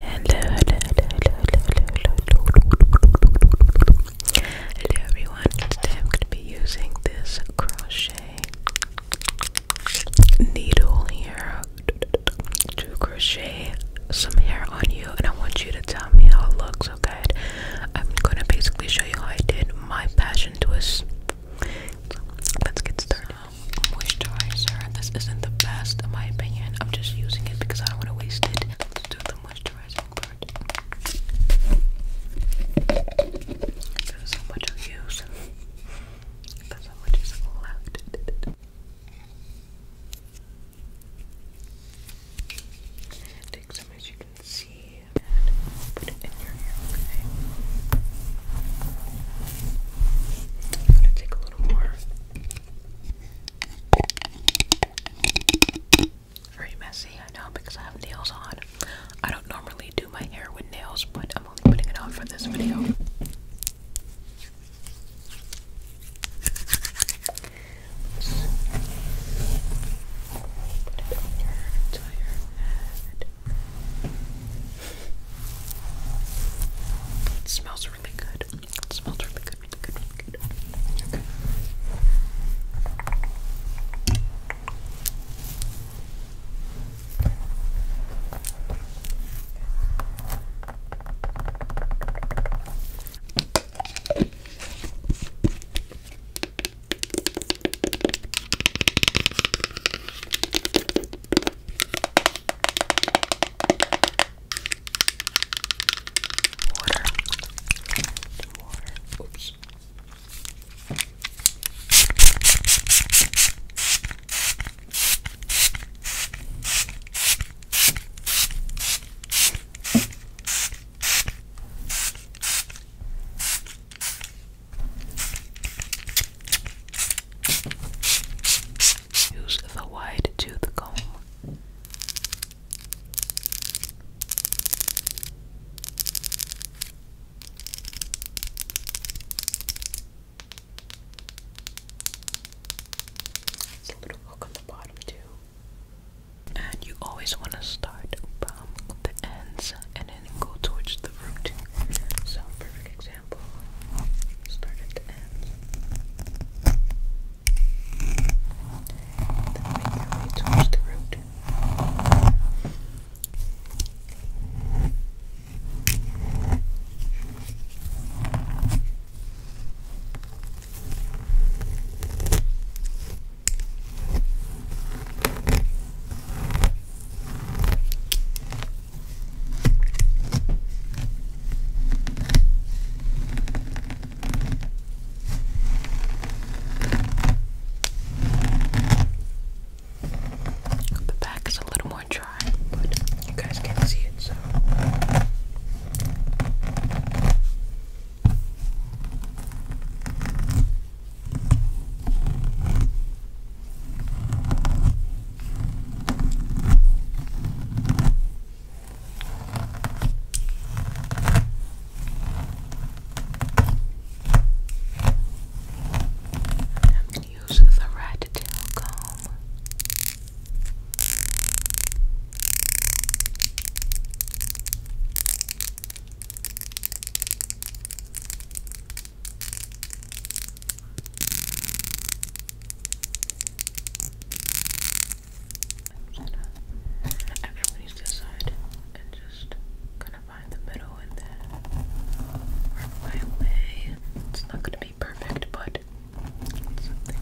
Hello, hello, hello, hello, hello, hello, hello, hello, everyone. I'm going to be using this crochet needle here to crochet some hair on you, and I want you to tell me how it looks, okay? I'm going to basically show you how I did my passion twist. Let's get started moisturizer. This isn't the best in my opinion. I'm just using it because I don't want to waste it. do the moisturizing part. There's so much of use. There's so much is left. Take some as you can see and put it in your hair, okay? I'm gonna take a little more. Very messy, I know, because I have nails on. I don't normally do my hair with nails, but I'm only putting it on for this video. It smells really good. It smells really good, really good, really good. Okay. Water. Water. Oops. Use the wide tooth comb. It's a little hook on the bottom too. And you always want to start from the ends and then towards the root. So perfect example, starting to end. Then make your way towards the root. The back is a little more dry, you guys can't see it, so. And use the red tail comb. Everybody's this side and just gonna find the middle and then work my way. It's not gonna be perfect, but something.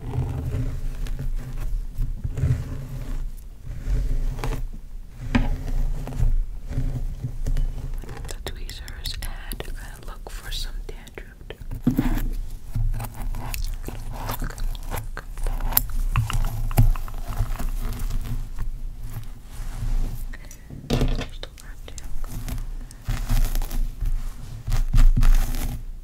The tweezers and gonna look for some dandruff.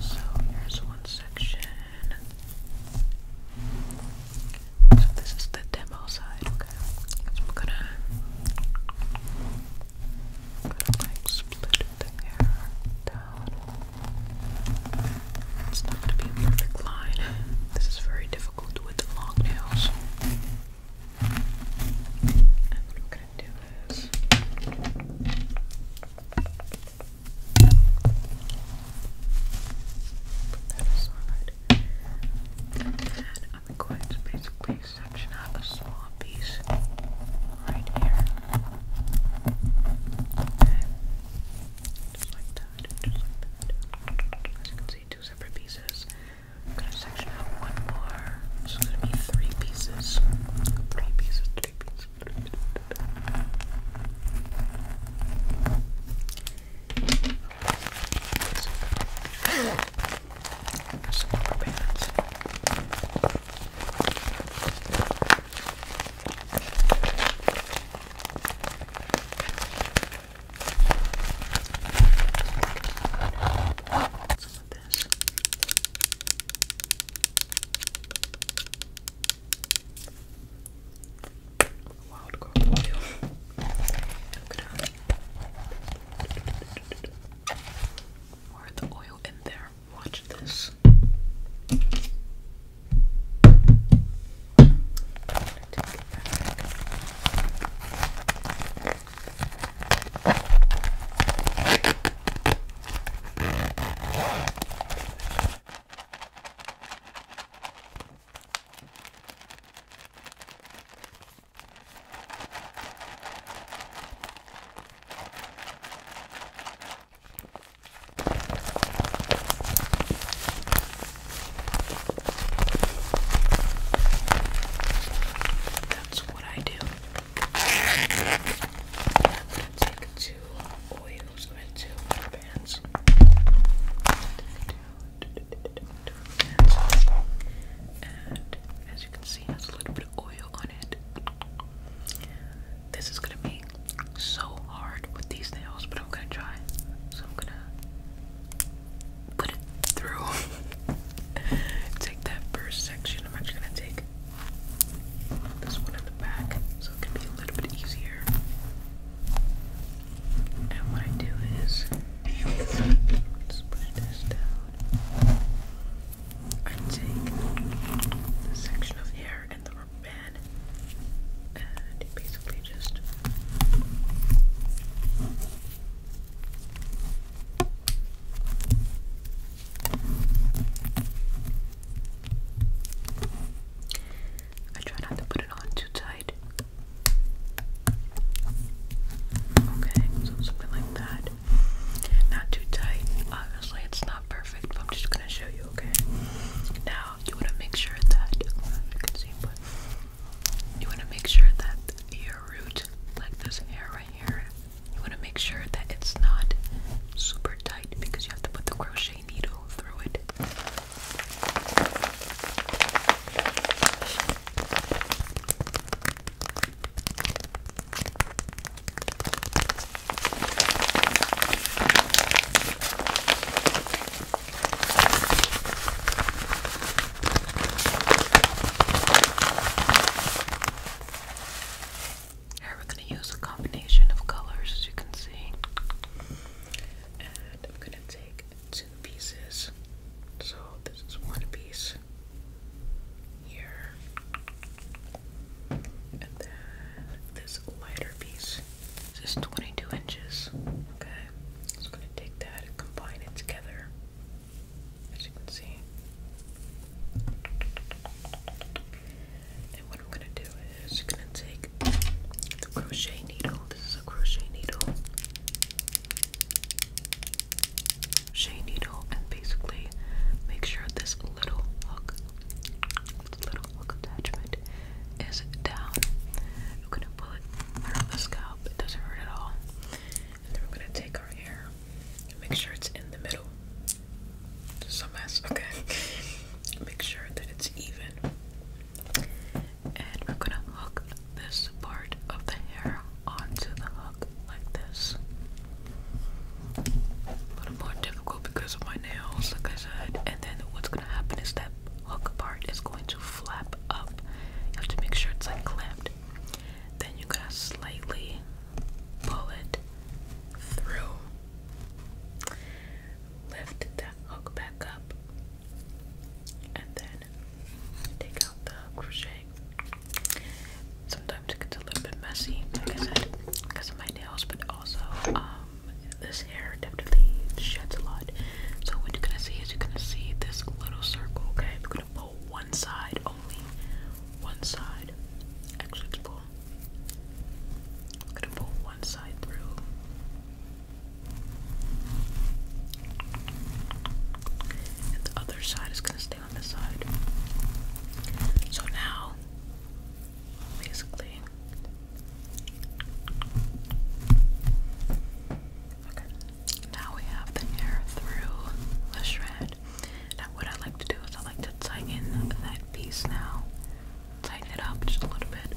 So here's one section. So this is the demo side, okay? So I'm gonna, gonna split the hair down. It's not going to be a perfect line. This is very difficult with the long nails. And I'm going to do is. Put that aside. And I'm going to basically section out a small piece right here. Just like that, just like that. As you can see, two separate pieces. I'm gonna section out one more. So it's gonna be three pieces. Three pieces, three pieces, three pieces. Some of this. Wild girl oil. Look the oil in there. Watch this. I'm gonna take it back. That's what I do. I'm gonna take two oils and two bands. And as you can see, has a little bit of oil on it. This is gonna be so hard with these nails, but I'm gonna try. So I'm gonna put it through. take that first section. I'm actually gonna take this one in the back so it can be a little bit easier. And what I do is just this down. I take the section of hair and the rubber band and basically just I try not to put it on too tight. Okay, so something like that. Not too tight. Obviously, it's not perfect, but I'm just gonna show you, okay? Now, you wanna make sure that, you wanna make sure that your root, like this hair right here, you wanna make sure that it's not super tight because you have to put the crochet needle through it. Here we're going to use a combination of colors as you can see. And I'm going to take two pieces. So this is one piece here, and then this lighter piece is 22 inches. Okay, just gonna take that combine it together, as you can see. And what I'm gonna do is you're gonna take the crochet needle. This is a crochet needle shade needle and basically make sure this little hook, little hook attachment is down. We're gonna pull it around the scalp, it doesn't hurt at all. And then we're gonna take our hair and make sure it's in the middle. Just a mess, okay. make sure that it's even. And we're gonna hook this part of the hair onto the hook like this. A little more difficult because of my nails, like I said. And then what's gonna happen is that hook part is going to flap up. You have to make sure it's like clamped. Then you're gonna slightly pull it through. Lift that hook back up. And then take out the crochet Sometimes it gets a little bit messy, like I said, because of my nails, but also um, this hair definitely sheds a lot. So what you're gonna see is you're gonna see this little circle. Okay, we're gonna pull one side only, one side. Actually, it's pull. I'm gonna pull one side through. And the other side is gonna stay on the side. So now, basically, okay. Now we have the hair through the shred. Now, what I like to do is I like to tighten that piece now, tighten it up just a little bit,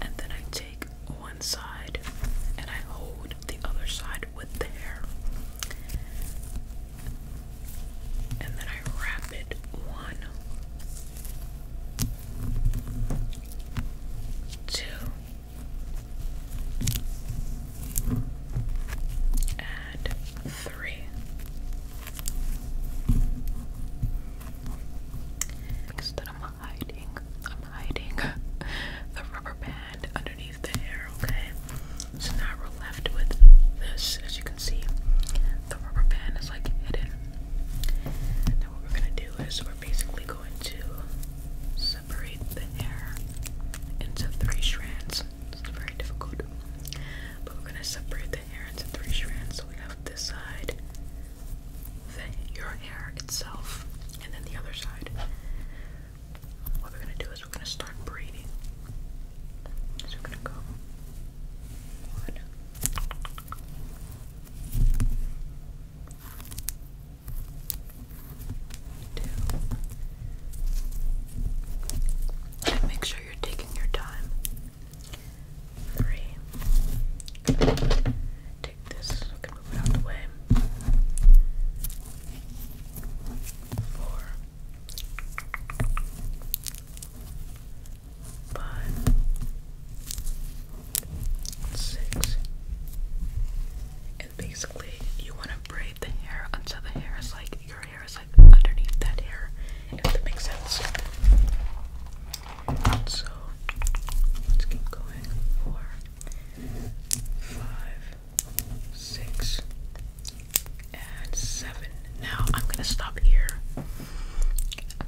and then I take one side and I hold the other side with the And then I rapid one, two, and three. Next I'm hiding, I'm hiding the rubber band underneath the hair, okay? So now we're left with this. As you can see, the rubber band is like hidden. Now, what we're gonna do is we're basically going to separate the hair into three strands. It's very difficult, but we're gonna separate the hair into three strands. So we have this side, the, your hair itself, and then the other side what we're gonna do is we're gonna start breathing. So we're gonna go one, two, make sure you're taking your time. Three. Take this move it out Four, five, six, and basically you want to braid the hair until the hair is like your hair is like underneath that hair, if that makes sense. So let's keep going. Four, five, six, and seven. Now I'm gonna stop here. I'm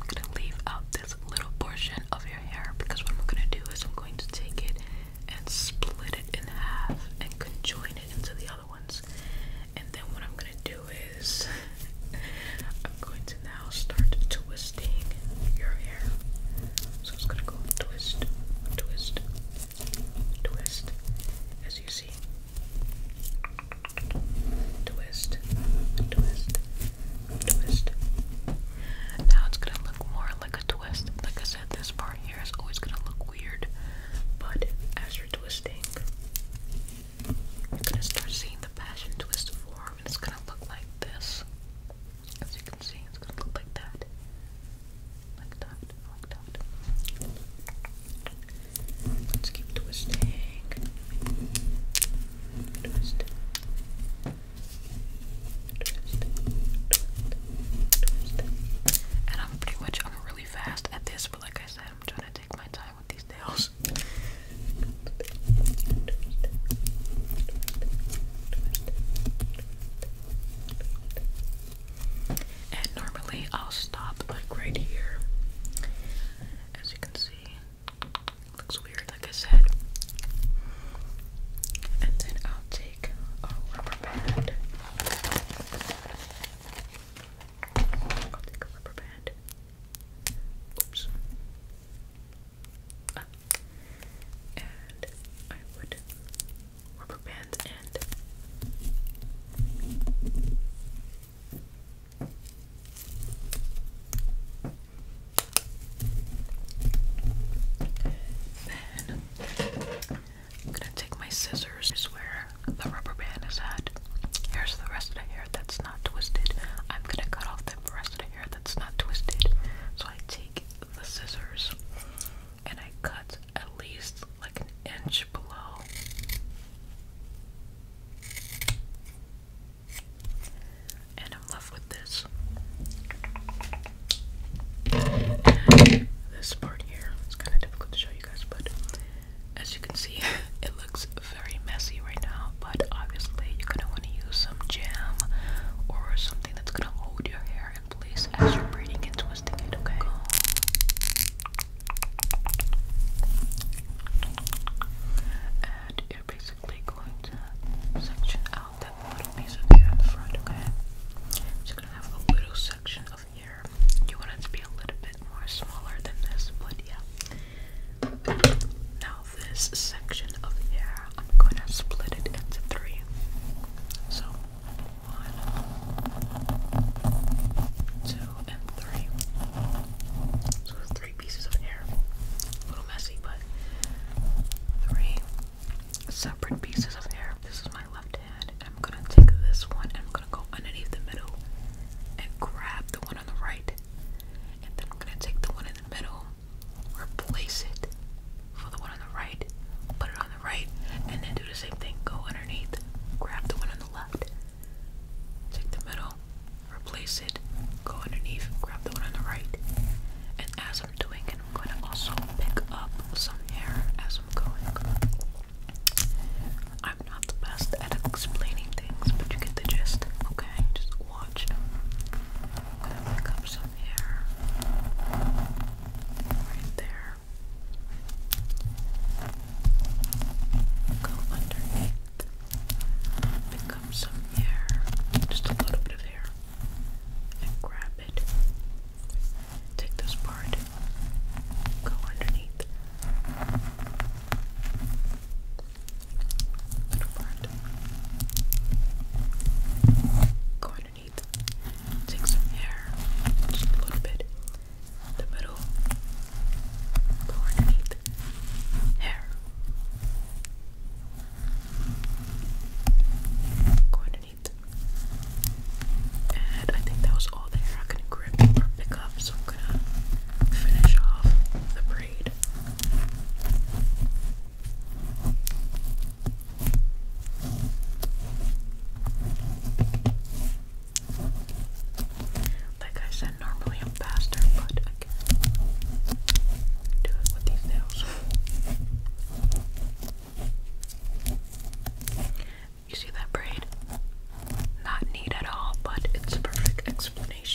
gonna leave out this little portion of your hair because what I'm gonna do is I'm going to take it and split it in half and conjoin it into the other ones. And then what I'm gonna do is I'm going to now start twisting your hair. So it's gonna go twist, twist, twist, as you see. Twist, twist, twist. Now it's gonna look more like a twist. Like I said, this part here is always gonna look weird, but as you're twisting, you're gonna start seeing the passion twist form, and it's gonna look like this. As you can see, it's gonna look like that. Like that, like that. Let's keep twisting. Twist. Twist. Twist. And I'm pretty much, I'm really fast at this, but like I said, I'm trying to take my time with these nails. And normally I'll stop like right here. As you can see, looks weird like I said. And then I'll take a rubber band. I'll take a rubber band. Oops. And I would rubber band and then I'm gonna take my scissors. Here's where the rubber band is at. Here's the rest of the hair that's not twisted. I'm gonna cut off the rest of the hair that's not twisted. So I take the scissors and I cut at least like an inch below. And I'm left with this. this part here is kind of difficult to show you guys, but as you can see, it looks very messy right now. But obviously, you're gonna want to use some jam or something that's gonna hold your hair in place as you're braiding and twisting it, okay? And you're basically going to section out that little piece of hair in the front, okay? So gonna have a little section of hair. You want it to be a little bit more smaller than this, but yeah. Now, this section of hair, I'm going to split it into three. So, one, two, and three. So, three pieces of hair. A little messy, but three separate pieces of hair. This is my left hand. And I'm going to take this one and I'm going to go underneath the middle and grab the one on the right. And then I'm going to take the one in the middle replace it for the one on the right, put it on the right, and then do the same thing. Go underneath, grab the one on the left, take the middle, replace it, go underneath, grab the one on the right. And as I'm doing it, I'm going to also pick up some hair as I'm going. I'm not the best at explaining things, but you get the gist, okay? Just watch. i pick up some hair right there. Go underneath. Pick up some hair, just a little bit of hair, and grab it. Take this part, go underneath. Little part. Go underneath. Take some hair, just a little bit. The middle. Go underneath. Hair. Go underneath. And I think that was all the hair I could grip pick up, so I'm gonna finish off the braid. Like I said, normally I'm faster, but I can do it with these nails. You see that braid? Not neat at all, but it's a perfect explanation. I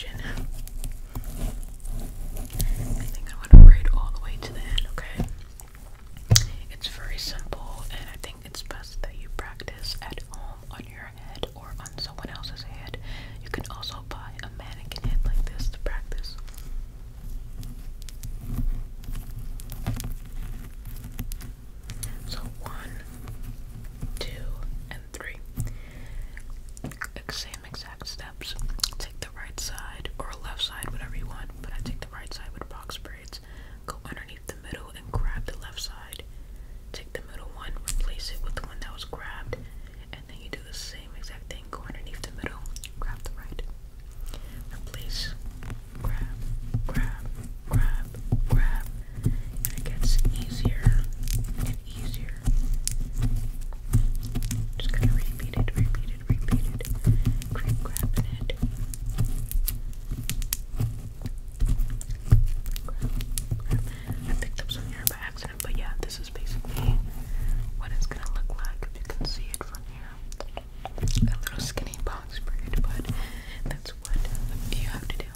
think I'm to read all the way to the end, okay? It's very simple, and I think it's best that you practice at home on your head or on someone else's head. You can also buy a mannequin head like this to practice. So, one, two, and three. Examine same exact steps. Take the right side or left side, whatever you want, but I take the right side with box braids. Go underneath the middle and grab the left side. Take the middle one, replace it with the one that was grabbed, and then you do the same exact thing. Go underneath the middle, grab the right, replace, grab, grab, grab, grab, and it gets easier and easier just gonna repeat it, repeat it, repeat it. Grip grabbing it. Grab, I picked up some hair by accident, but yeah, this is basically what it's gonna look like if you can see it from here. A little skinny box braid, but that's what you have to deal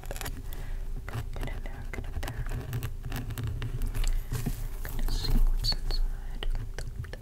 Okay, get in there, get in there. I'm gonna see what's inside. Okay,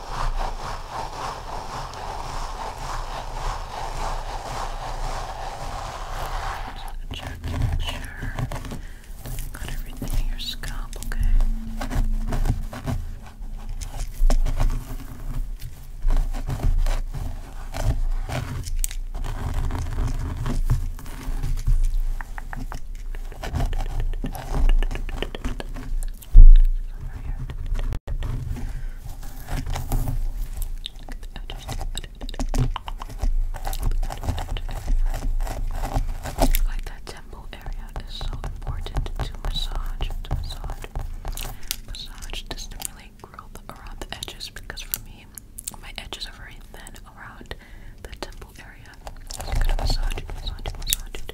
Just gonna check to make sure I've got everything in your scalp, okay? Like that temple area is so important to massage, to massage, massage to growth around the edges. Because for me, my edges are very thin around the temple area. gonna massage, massage, Massage,